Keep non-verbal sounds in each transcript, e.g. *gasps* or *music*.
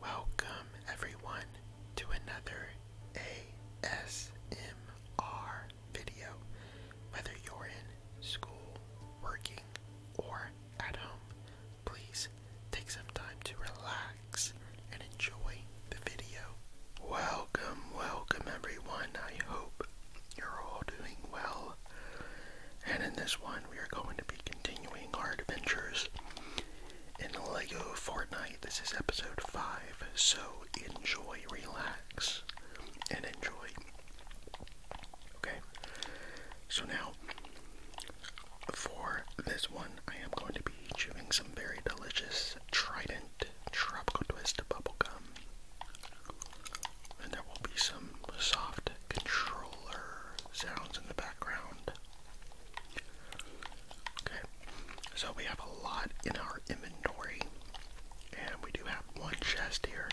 Welcome, everyone, to another ASMR video. Whether you're in school, working, or at home, please take some time to relax and enjoy the video. Welcome, welcome, everyone. I hope you're all doing well. And in this one, we are going to be continuing our adventures in Lego Fortnite. This is episode 5, so enjoy, relax, and enjoy. Okay, so now for this one, I am going to be chewing some very delicious Trident Tropical Twist bubble gum, And there will be some soft controller sounds in the background. Okay, so we have a lot in our inventory, and we do have one chest here.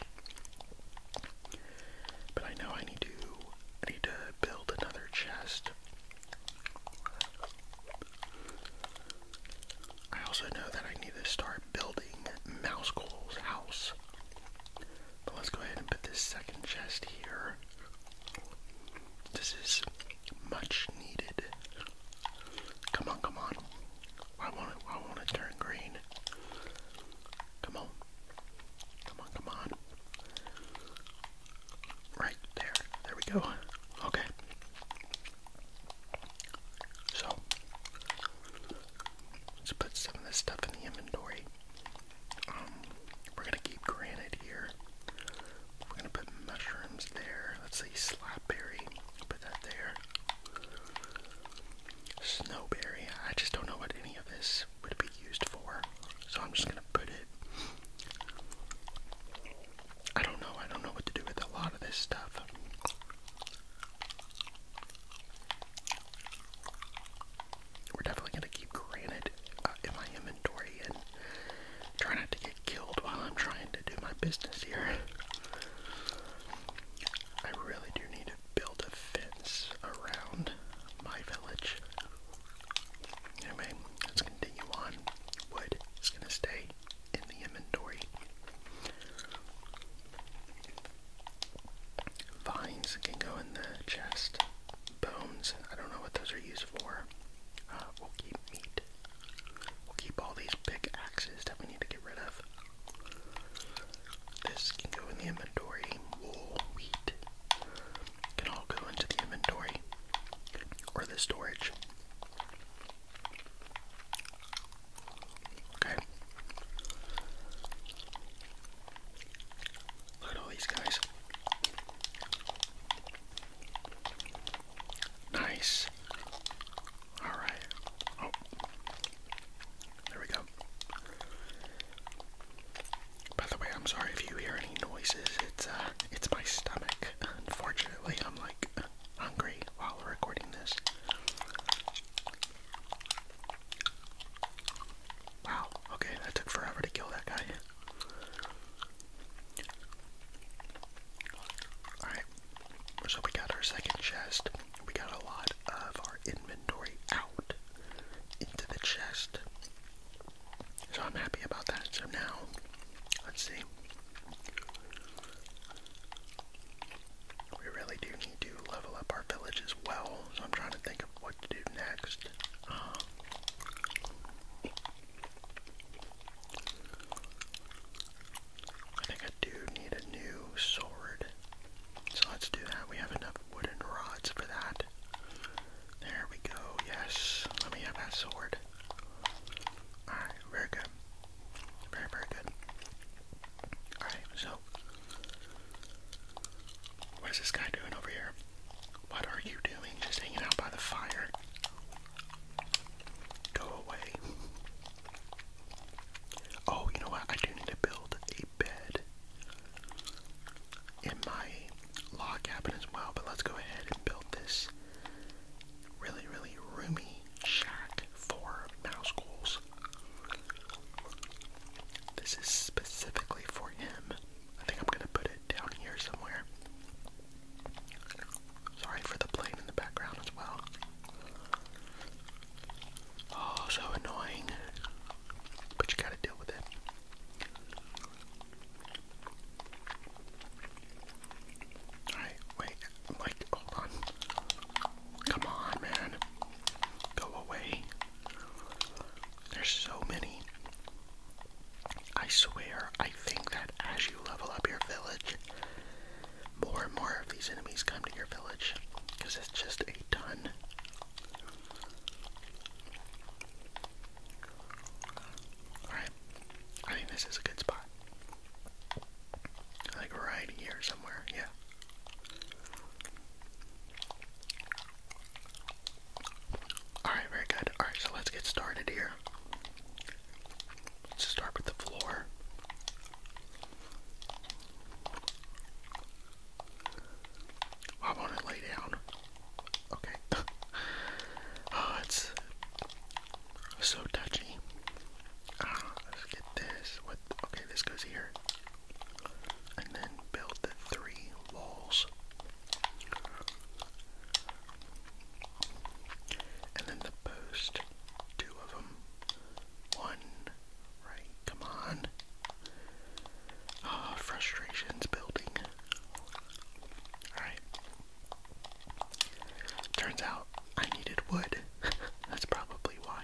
But I know I need to I need to build another chest. I also know that I need to start building Mouse Cole's house. But let's go ahead and put this second chest here. This is much needed. Come on, come on. I want to I want to turn green. Come on. Come on, come on. Right there. There we go. Okay. So, let's put some of this stuff in the inventory. Um, we're gonna keep granite here. We're gonna put mushrooms there. Let's say slapberry. Put that there. Snowberry. I just don't know what any of this would be used for, so I'm just gonna put it. I don't know. I don't know what to do with a lot of this stuff. We're definitely gonna keep granite uh, in my inventory and try not to get killed while I'm trying to do my business here. I really do need to build a fence around my village. Anyway, let's continue on. Wood is gonna stay in the inventory. Vines can go in the chest bones. I don't know what those are used for. Uh, we'll keep meat. We'll keep all these big axes that we need to get rid of. This can go in the inventory. Wool, wheat can all go into the inventory or the storage. Okay. Look at all these guys. Nice. All right. Oh, there we go. By the way, I'm sorry if you hear any noises. It's uh, it's my stomach. *laughs* Unfortunately, I'm like hungry while recording this. Wow, okay, that took forever to kill that guy. Alright, so we got our second chest. We got a lot of our inventory out into the chest. So I'm happy about that. So now, let's see. We really do need to level up our village as well. So I'm trying to think what to do next. Um, I think I do need a new sword. So let's do that. We have enough wooden rods for that. There we go. Yes. Let me have that sword. Alright, very good. Very, very good. Alright, so what is this guy doing over here? What are you doing? Just hanging out by the fire. Go away. Oh, you know what? I do need to build a bed in my log cabin as well, but let's go ahead and build this really, really roomy shack for mouse this is specifically for him. I think I'm gonna put it down here somewhere. Sorry for the plane in the background as well. Oh, so annoying. But you gotta deal with it. Alright, wait. Like, hold on. Come on, man. Go away. There's so many. I swear, I think that as you level up your village, more and more of these enemies come to your village because it's just a ton. Alright, I think this is a good spot. Like right here somewhere, yeah. Alright, very good. Alright, so let's get started here. Let's start with the floor. Oh, I want to lay down. Okay. *laughs* oh, it's so touchy. Ah, let's get this. What? Okay, this goes here and then build the three walls. And then the post, two of them. One, right, come on. Ah, frustrations building. Alright. Turns out I needed wood. *laughs* That's probably why.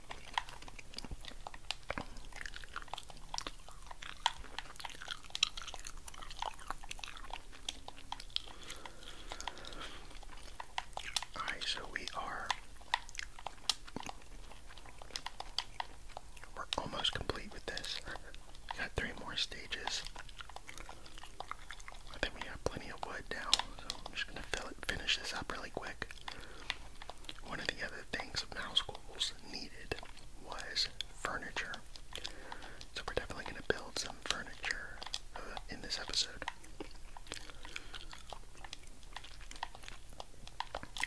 Alright, so we are we're almost complete with this. We got three more stages. I think we have plenty of wood now, so I'm just gonna fill it, finish this up really quick. One of the other things mouse schools needed was furniture. So we're definitely going to build some furniture uh, in this episode.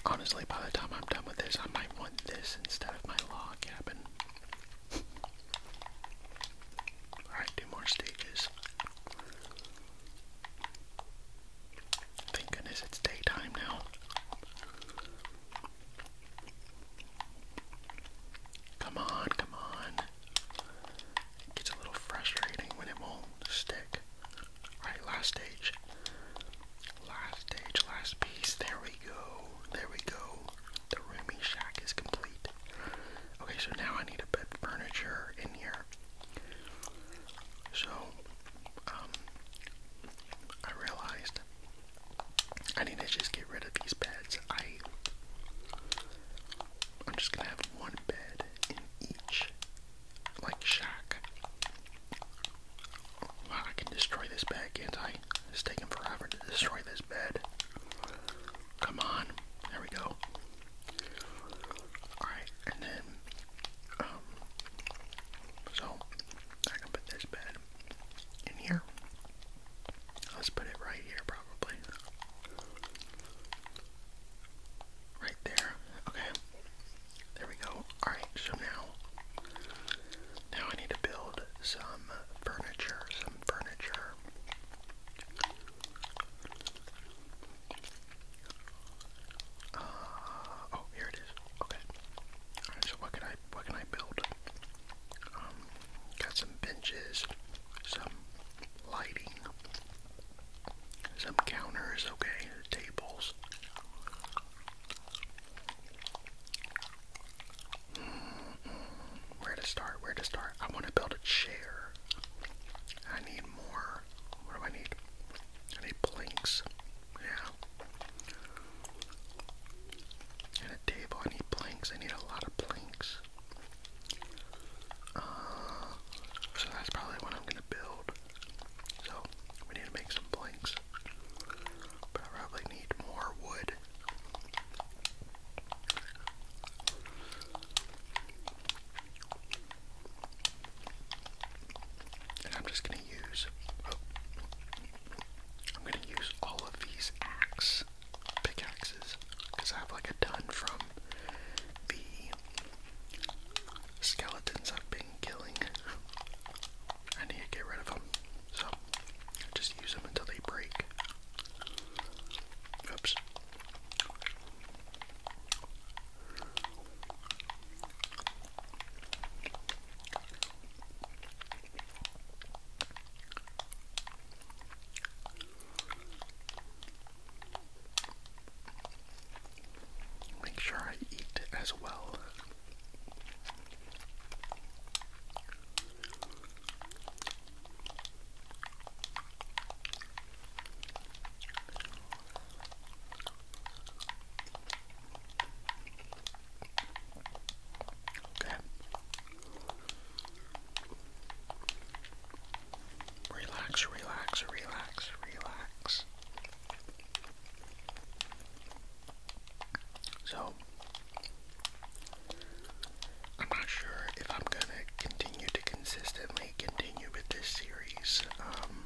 Honestly, by the time I'm done with this, I might want this instead of my log cabin. *laughs* Alright, two more stages. Thank goodness it's daytime now. Come on, come on. gets a little frustrating when it won't stick. Alright, last stage. Last stage, last piece. There we go. There we go. The roomy shack is complete. Okay, so now I need to put furniture in here. So, um, I realized I need to just get rid of these beds. I, I'm just gonna have one bed in each, like shack. Wow, I can destroy this bed, can't I? It's taking forever to destroy this bed. Come on, there we go. Alright, and then, um, so I can put this bed in here. Let's put it right here, probably. Right there. Okay. There we go. Alright, so now, now I need to build some furniture, some furniture. Uh, oh, here it is. Okay. so what can I what can I build? Um, got some benches, some lighting, some counters, okay, tables. Where to start? Where to start? I want to build a chair. I need more. What do I need? I planks. Yeah. And a table. I need planks. I need a lot of planks. Uh, so that's probably what I'm gonna build. So we need to make some planks. But I probably need more wood. And I'm just gonna use. I'm gonna use all of these axes, pickaxes because I have like a ton from the skeletons I've been killing. I need to get rid of them, so just use them until they break. Oops. Make sure I eat as well. Okay. Relax, relax, relax, relax. So, I'm not sure if I'm gonna continue to consistently continue with this series. Um,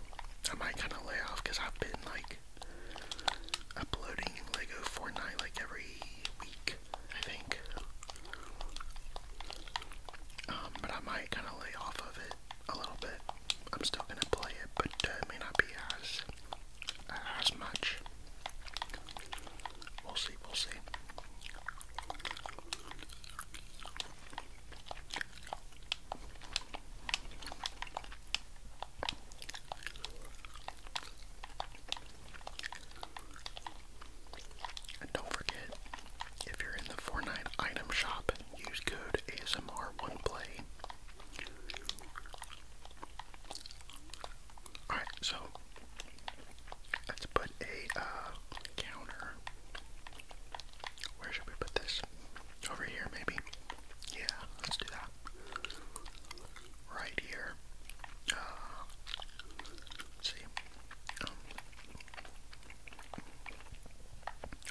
I might kind of lay off because I've been like uploading Lego Fortnite like every week, I think. Um, but I might kind of lay off of it a little bit. I'm still gonna play it, but uh, it may not be as as much. We'll see. We'll see. And don't forget, if you're in the Fortnite item shop, use code ASMR1Play. Alright, so let's put a uh, counter. Where should we put this? Over here, maybe? Yeah, let's do that. Right here. Uh, see.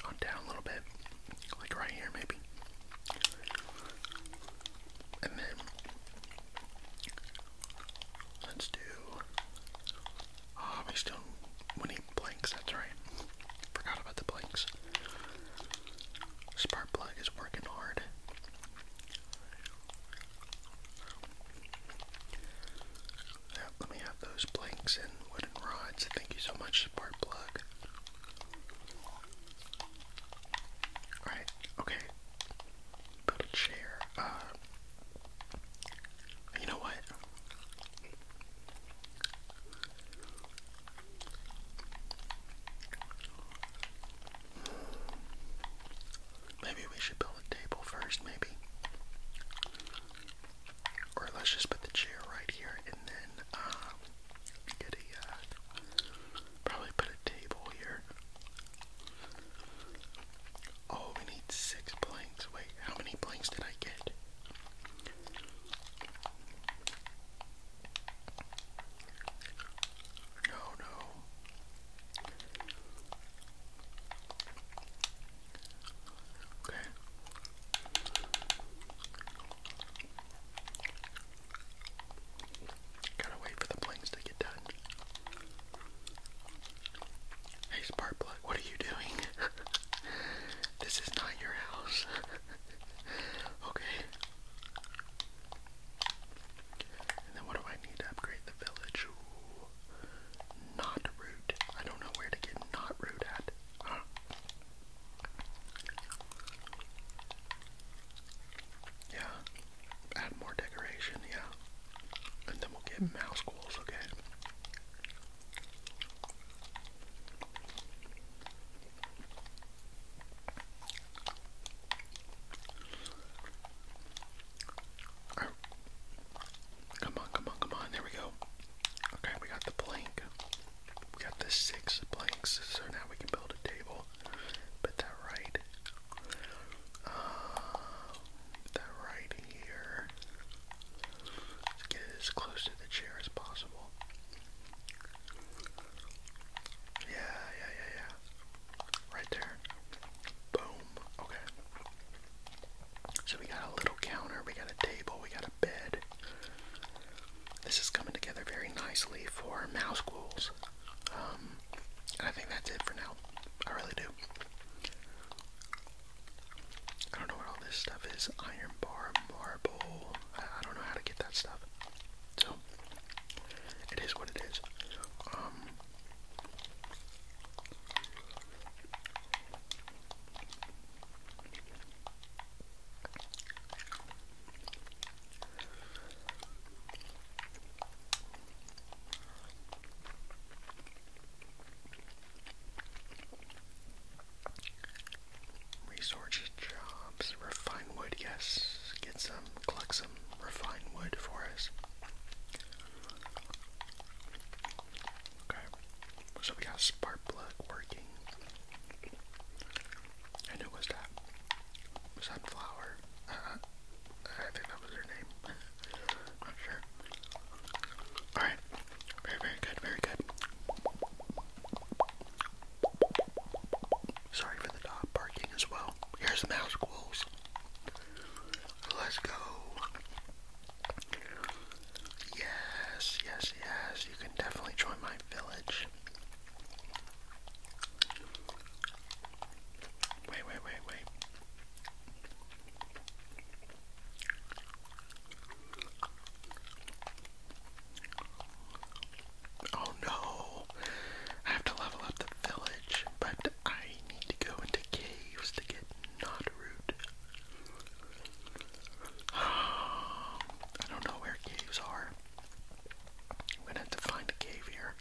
Um, down a little bit. Like right here, maybe. And then Let's do. we um, still need blanks. That's right. Forgot about the blanks. Sparkplug is working hard. Yeah, let me have those blanks and wooden rods. Thank you so much, Sparkplug. Alright, okay put a chair. Uh, you know what? Maybe we should build a table first, maybe. Or let's just put the chair right here and then uh, get a, uh, probably put a table here. Oh, we need six blanks. Wait, how many blanks did I get? No, no. Okay. Gotta wait for the blings to get done. Hey, Sparkplug, what are you doing? *laughs* this is not your house. *laughs* okay. And then what do I need to upgrade the village? Not root. I don't know where to get not root at. Yeah, add more decoration, yeah. And then we'll get mouse goals, okay? Come on, come on, come on. There we go. Okay, we got the plank. We got the six planks, so now we can build a table. Put that right. Uh, put that right here. get as close to the chair as possible. Yeah, yeah, yeah, yeah. Right there. Boom. Okay. So we got a little counter, we got a table, we got a bed. This is coming together very nicely for mouse ghouls. Um, I think that's it for now. I really do. I don't know what all this stuff is. Iron bar, marble. I, don't know how to get that stuff. So, it is what it is. Um, Resources, jobs, refine wood, yes. Get some, collect some refine wood for us. Okay, so we got spark plug working. And who was that? was Sunflower. Uh, I think that was her name. *laughs* Not sure. Alright. Very, very good, very good. Sorry for the dog barking as well. Here's the mouse goals. Let's go. Yes, yes, yes. You can definitely join my village. Wait, wait, wait, wait. Oh no! I have to level up the village, but I need to go into caves to get Knot *sighs* I don't know where caves are. I'm gonna have to find a cave here.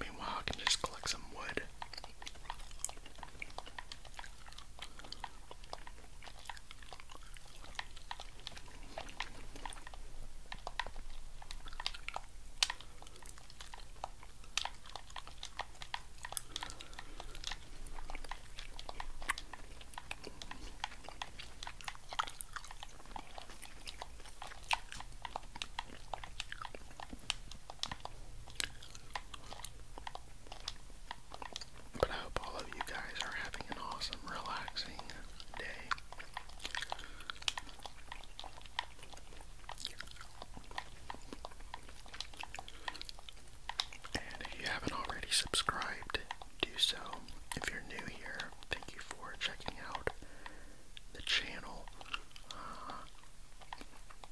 Meanwhile, I can just collect some wood. But I hope all of you guys are having an awesome, relaxing day. And if you haven't already subscribed, do so. If you're new here, thank you for checking out the channel. Uh,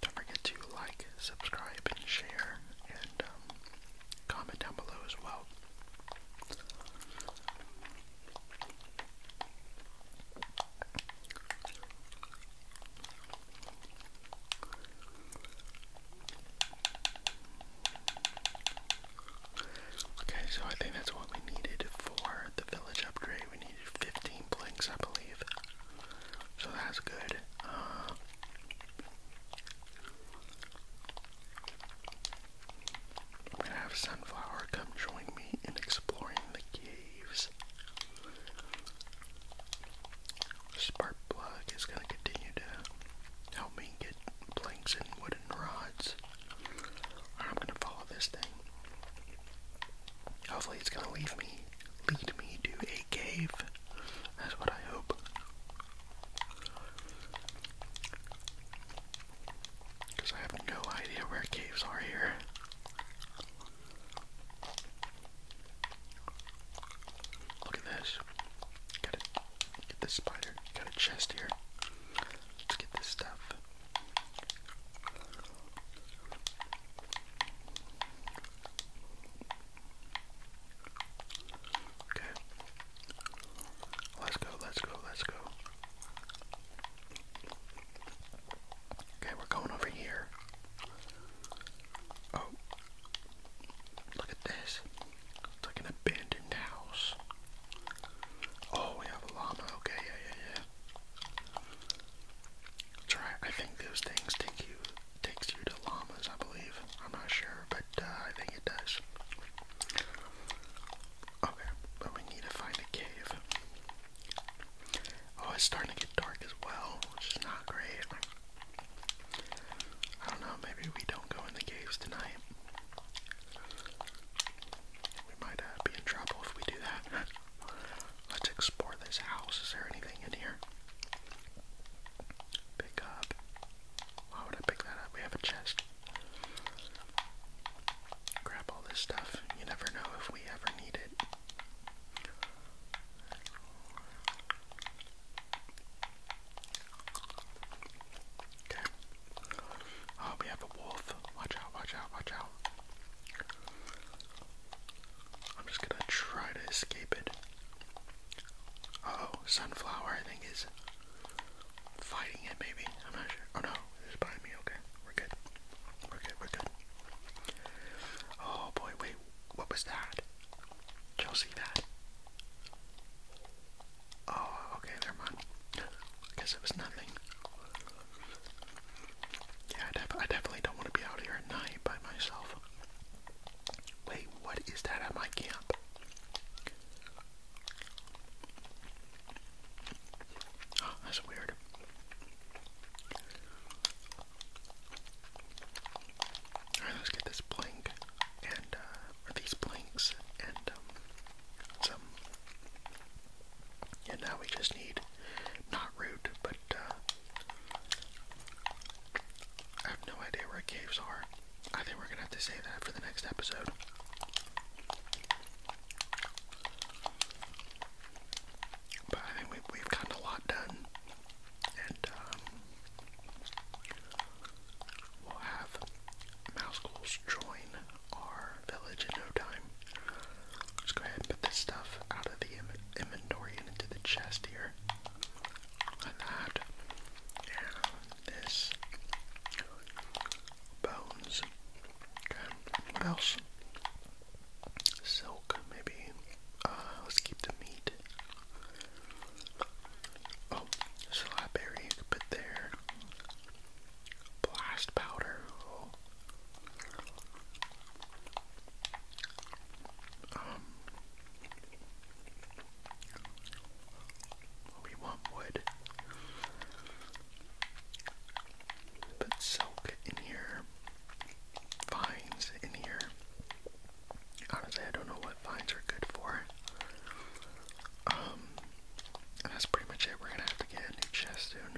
don't forget to like, subscribe, and share, and um, comment down below as well. Okay, so I think that's what we needed for the village upgrade. We needed 15 blinks, I believe. So that's good. Uh, I'm gonna have Sunflower come join me in exploring the caves. Spark plug is going to continue to help me get blinks and wooden rods. I'm going to follow this thing. Hopefully, it's going to leave me, lead me to a cave. That's what I hope. Because I have no idea where caves are here. Look at this. Got it. Get this spider. Got a chest here. Let's get this stuff. Okay. Let's go, let's go, let's go. Okay, we're going over here. Oh, look at this. It's like an abandoned house. Oh, we have a llama. Okay, yeah, yeah, yeah. That's right. I think those things take you takes you to llamas, I believe. I'm not sure, but uh, I think it does. Okay, but we need to find a cave. Oh, it's starting to get dark as well, which is not great. I don't know, maybe we don't go in the caves tonight. We might uh, be in trouble if we do that. *laughs* Let's explore this house. Is there anything in here? Pick up. Why would I pick that up? We have a chest. Grab all this stuff. You never know if we ever need it. Okay. Oh, we have a wolf. Watch out, watch out, watch out. I'm just gonna try to escape it. oh, sunflower I think is fighting it maybe. I'm not sure. Oh no, it's behind me, okay. We're good. We're good, we're good. Oh boy, wait, what was that? Y'all see that? Oh, okay, never mind. I guess it was nothing. Yeah, I, definitely don't want to be out here at night by myself. Wait, what is that at my camp? *gasps* that's weird let's get this blink and uh, these blinks and um, some and now we just need not root but uh, I have no idea where caves are. I think we're gonna have to save that for the next episode. But I think we've, we've gotten a lot done and um, we'll have mouse ghouls join our village in no time. Let's go ahead and put this stuff out of the inventory and into the chest here. And that, and this, bones. what else? silk, maybe. Uh, let's keep the meat. Oh, slapberry, put there. Blast powder. Um, we want wood. Put silk in here vines in here. Honestly, I don't know what vines are good for. Um, that's pretty much it. We're gonna have to get a new chest soon.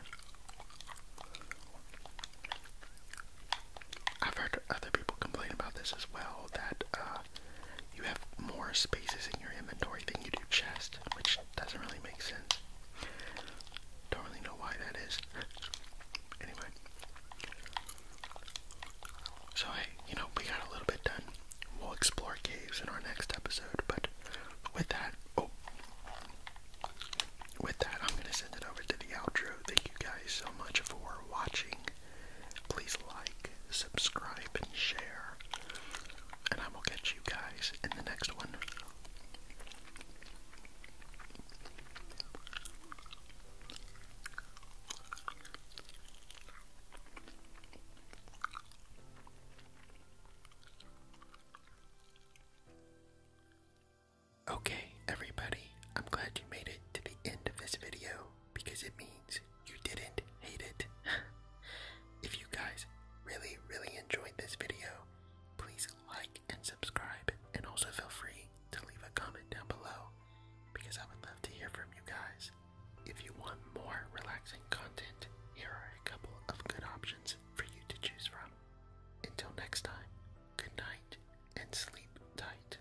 I've heard other people complain about this as well, that uh, you have more spaces in your inventory than you do chest, which doesn't really make sense. Don't really know why that is. anyway. So hey, you know, we got a little bit done. We'll explore caves in our next episode, but with that, oh, with that, I'm gonna send it over to the outro. Thank you guys so much for watching. Please like, subscribe, and share. And I will catch you guys in the next one. Okay, everybody, I'm glad you made it to the end of this video because it means you didn't hate it. *laughs* if you guys really, really enjoyed this video, please like and subscribe, and also feel free to leave a comment down below because I would love to hear from you guys. If you want more relaxing content, here are a couple of good options for you to choose from. Until next time, good night and sleep tight.